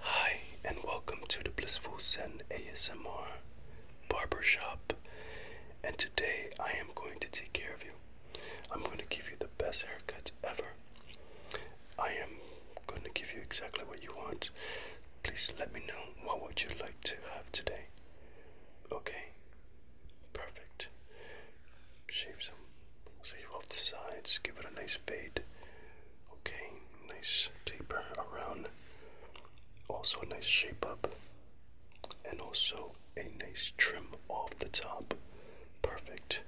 Hi, and welcome to the Blissful Zen ASMR Barber Shop. And today I am going to take care of you. I'm going to give you the best haircut ever. I am going to give you exactly what you want. Please let me know what would you like to have today. Okay, Perfect. Shave some sleeve off the sides, give it a nice fade. Okay, nice taper around. Also a nice shape up. And also a nice trim off the top. Perfect.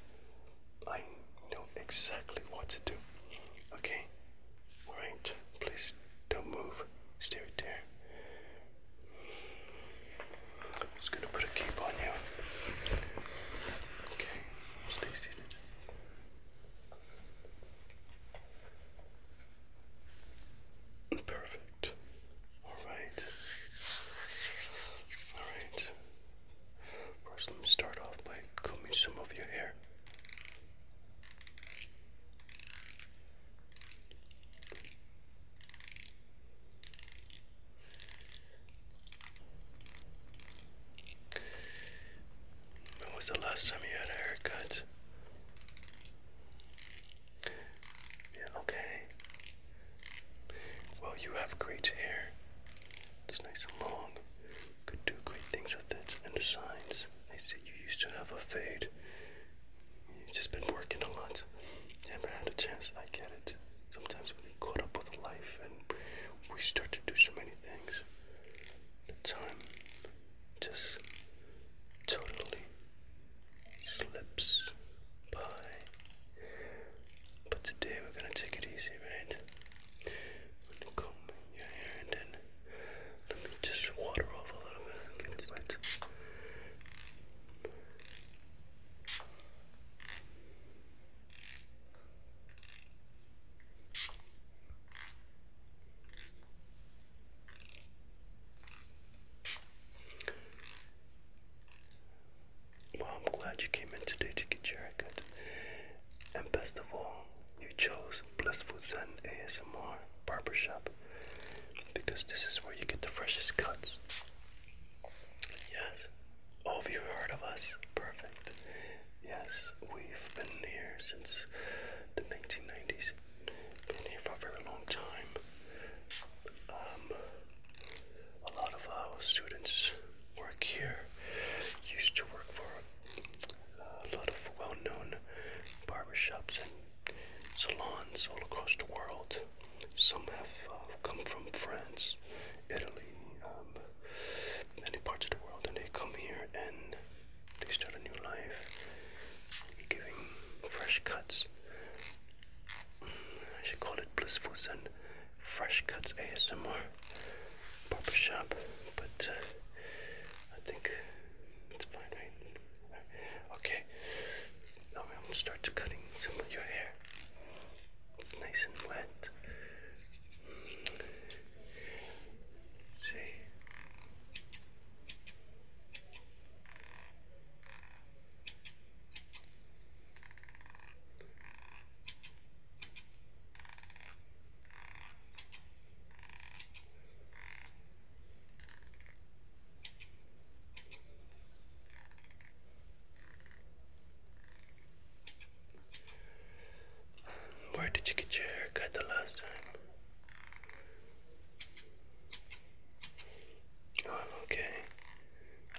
I know exactly what to do. Okay. Alright. Please don't move. Stay right there. I'm just going to put a cape on you. Okay, Perfect. Alright. Alright. First, let me start off by combing some of your hair. When was the last time you had a haircut? Yeah, okay. Well, you have great hair. It's nice and long. Could do great things with it. And the signs. They say you used to have a fade. You've just been working a lot. Never had a chance. I get it. Sometimes we get caught up with life and we start to do so many things. The time just totally slips by. But today we're gonna take it easy, right? I'm gonna comb your hair and then let me just water off a little bit get wet. Well, I'm glad you came in today to get your haircut. And best of all, you chose Blissful Zen ASMR barber shop because this is where you get the freshest cuts. Yes. have you heard of us? Perfect. Yes, we've been here since the 1990s. Been here for a very long time. Um, a lot of our students work here. Used to work for a lot of well-known barbershops and salons all across the world. Some have uh, come from France, Italy, um, many parts of the world, and they come here and they start a new life, giving fresh cuts. Mm, I should call it Blissful Zen Fresh Cuts ASMR proper shop, but uh, I think it's fine, right? Okay, now we am start cutting some of your hair. It's nice and wet. See? Where did you get your haircut the last time? Oh, I'm okay.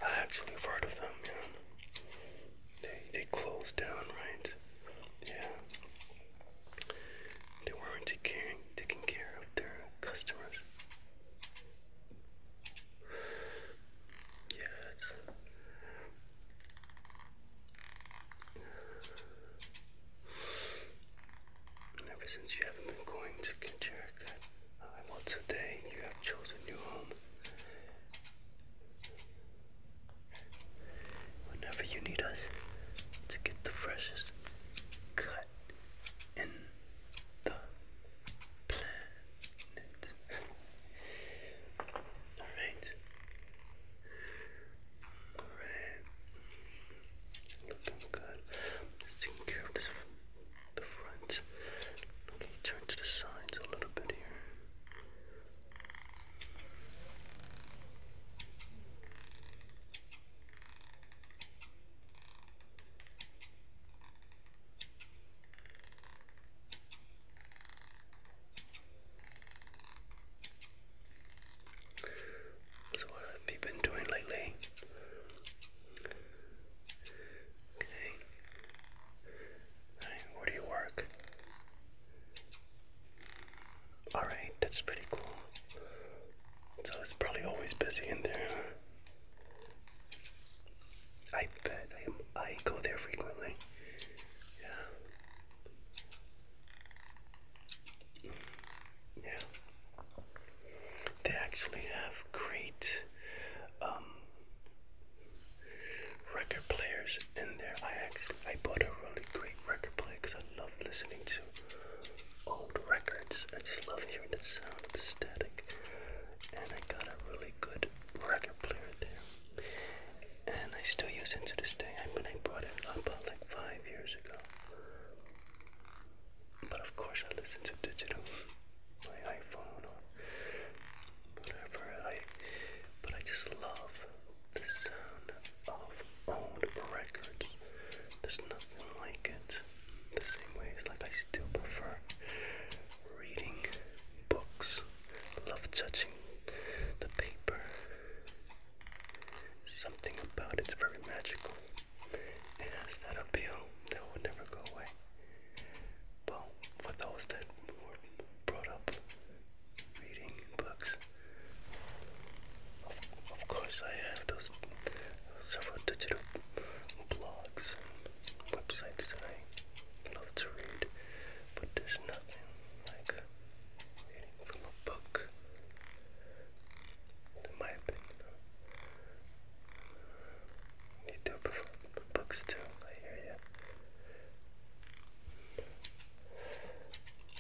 I actually heard of them, man. They they closed down, right? Yeah. They weren't taking taking care of their customers. Yeah, ever since you haven't been going to get uh, once a day, you have chosen your home. Whenever you need us to get the freshest cut and the planet. Alright. Alright. Looking good. taking care of the front. Okay, turn to the sides a little bit here. So what have you been doing lately? Okay. where do you work? Alright, that's pretty cool. So it's probably always busy in there. I bet I go there frequently. Yeah. Yeah. They actually have great um, record players in there. I actually I bought a really great record player because I love listening to old records. I just love hearing the sound of the static. And I got a really good record player there. And I still use it to this day. I mean, I bought it up uh, about like five years ago. But of course, I listen to digital, my iPhone or whatever. I, but I just love the sound of old records. There's nothing like it the same way as like I still prefer reading books. Love touching the paper. Something about it's very magical. It that appeal that will never go away. But for those that were brought up reading books, of course I have those several digital blogs and websites that I love to read, but there's nothing like reading from a book, in my opinion. You do prefer books too, I hear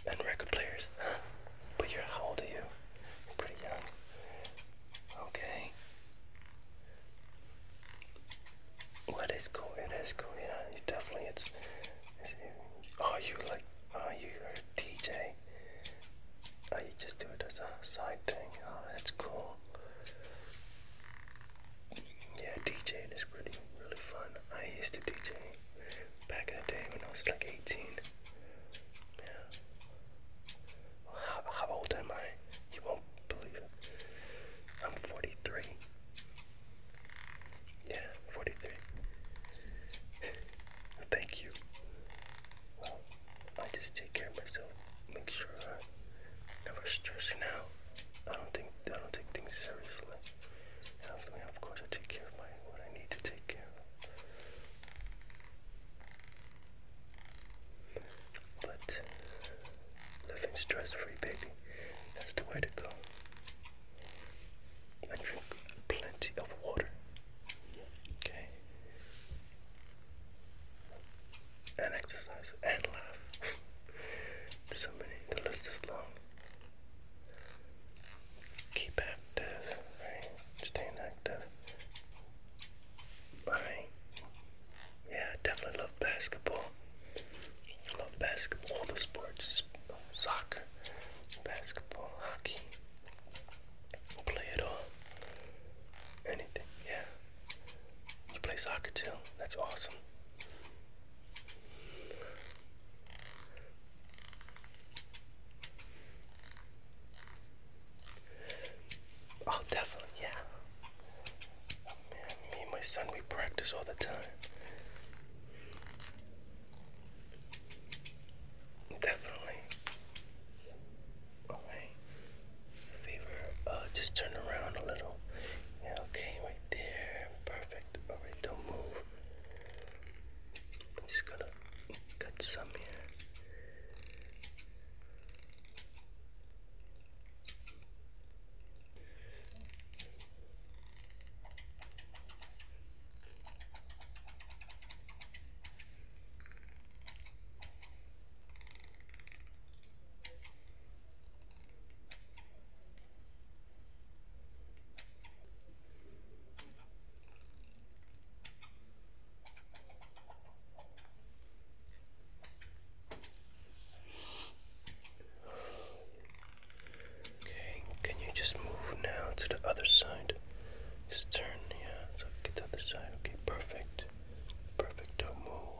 ya. And record players, huh? But you're how old are you? pretty young. Okay. What cool? It is cool. Yeah, you definitely. It's. it's are oh, you like? Oh, you a DJ? Oh, you just do it as a side thing. Oh, that's cool. Yeah, DJing is pretty really fun. I used to DJ back in the day when I was like 18. Yeah. How, old am I? You won't believe it. I'm 43. Yeah, 43. Thank you. Well, I just take care of myself. Make sure i never stressing out. I don't think I don't take things seriously. And of course, I take care of my what I need to take care of. But living stress-free, baby, that's the way to go. And drink plenty of water. Okay. And exercise and laugh. so many. The list is long keep active, right? Staying active. Alright. Yeah, I definitely love basketball. I love basketball, all the sports. Soccer, basketball, hockey. Play it all. Anything, yeah. You play soccer too? That's awesome. Oh, definitely, yeah. me and my son, we practice all the time. Definitely. Alright. Favor, uh, just turn around a little. Yeah, okay, right there. Perfect. Alright, don't move. just gonna got some here. Okay, can you just move now to the other side? Just turn, yeah, so get the side. Okay, perfect. Perfect, don't move.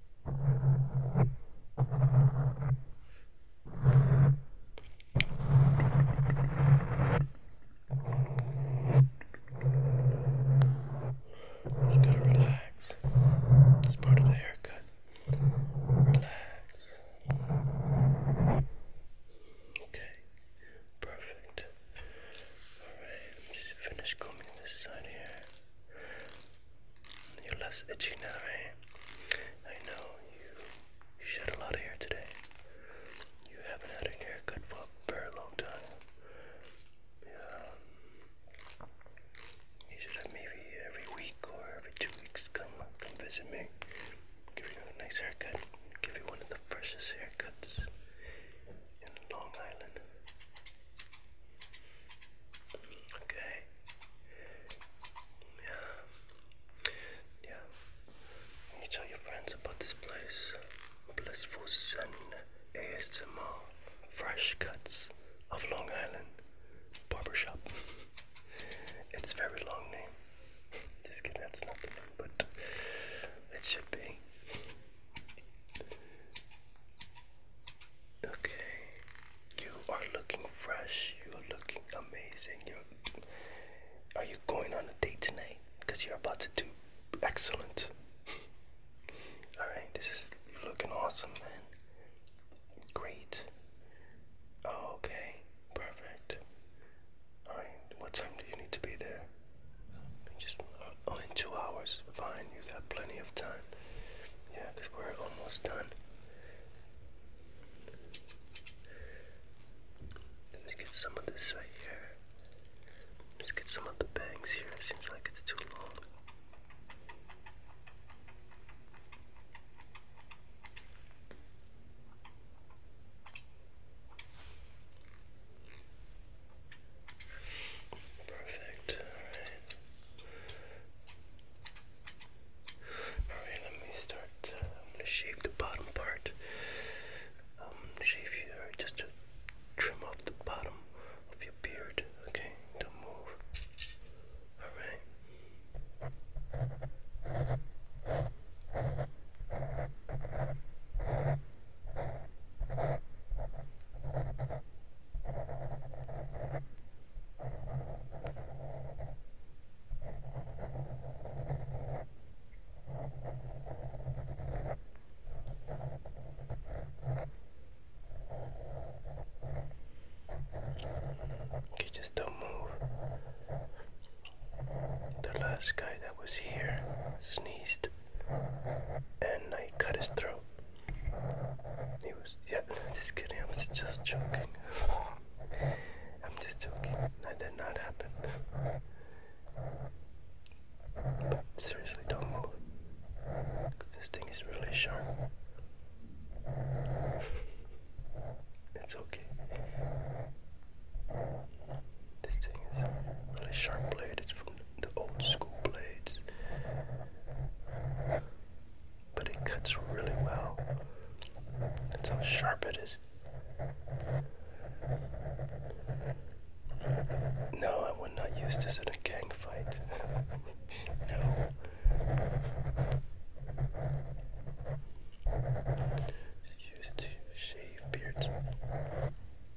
You gotta relax. It's part of the haircut. Relax. Okay. Perfect. Alright, let me just finish combing this side here. You're less itchy now, right? I know you, you shed a lot of hair today. You haven't had a haircut for a very long time. Yeah. You should have maybe every week or every two weeks come come visit me. Give you a nice haircut. Give you one of the freshest haircuts in Long Island. Okay. Yeah. Yeah. You tell your friends about this place. Blissful Sun ASMR. Fresh cuts of Long Island Barbershop. it's very long name. Just kidding, that's not but it should be. Okay, you are looking fresh. You're looking amazing. You're. Are you going on a date tonight? Because you're about to do excellent. All right, this is looking awesome, man. Great. Oh, okay, perfect. All right, what time do you need to be there? Just uh, Oh, in two hours. Fine, you got plenty of time. Yeah, because we're almost done. Let me get some of this right here. Let's get some of the bangs here. seems like it's too long. Perfect. All right. Alright, let me start. Uh, I'm gonna shave the bottom part. Um, shave your just to trim off the bottom of your beard. Okay, don't move. Alright. Okay, just don't move. The last guy that was here sneezed and I cut his throat. He was, yeah, just kidding, I was just joking. I'm just joking, that did not happen. But seriously, don't move. This thing is really sharp. it's okay. This thing is really sharp blade, it's from the old school blades, but it cuts really well. That's how sharp it is. No, I would not use this in a gang fight. no. Just use it to shave beards.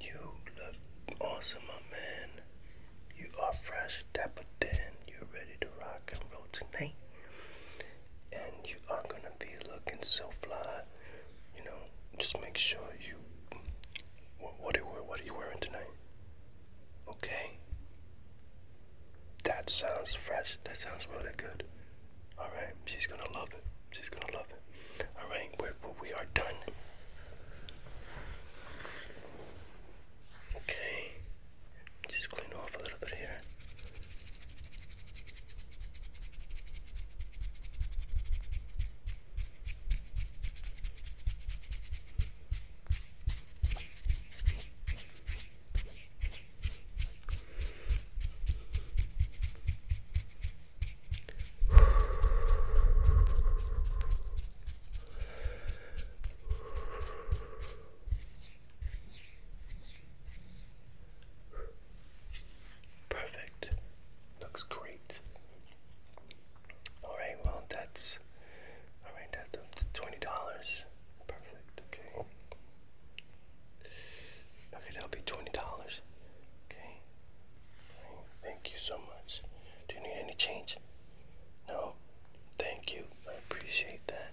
You look awesome, my man. You are fresh, dapper, then you're ready to rock and roll tonight. And you are gonna be looking so fly. You know, just make sure you. What, what, are, you, what are you wearing tonight? Okay. That sounds fresh. That sounds really good. Alright, she's gonna love it. She's gonna love it. Alright, we're, we are done. Okay, just clean off a little bit here. Perfect. Looks great. Alright, well that's alright, that's twenty dollars. Perfect, okay. Okay, that'll be twenty dollars. Okay. Thank you so much. Do you need any change? No. Thank you. I appreciate that.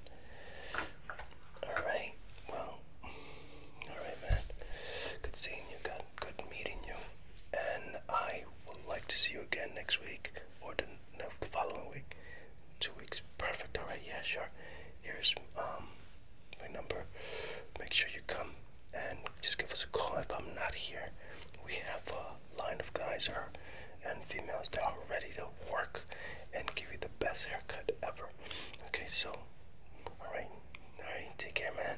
All right. Well. All right, man. Good seeing you. Good. meeting you. And I would like to see you again next week or the following week two weeks. Perfect. All right. Yeah, sure. Here's um my number. Make sure you come and just give us a call if I'm not here. We have a line of guys or and females that are ready to work and give you the best haircut ever. Okay, so all right, all right. Take care, man.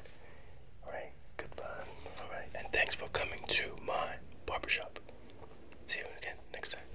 All right. Goodbye. All right, and thanks for coming to my barber shop. See you again next time.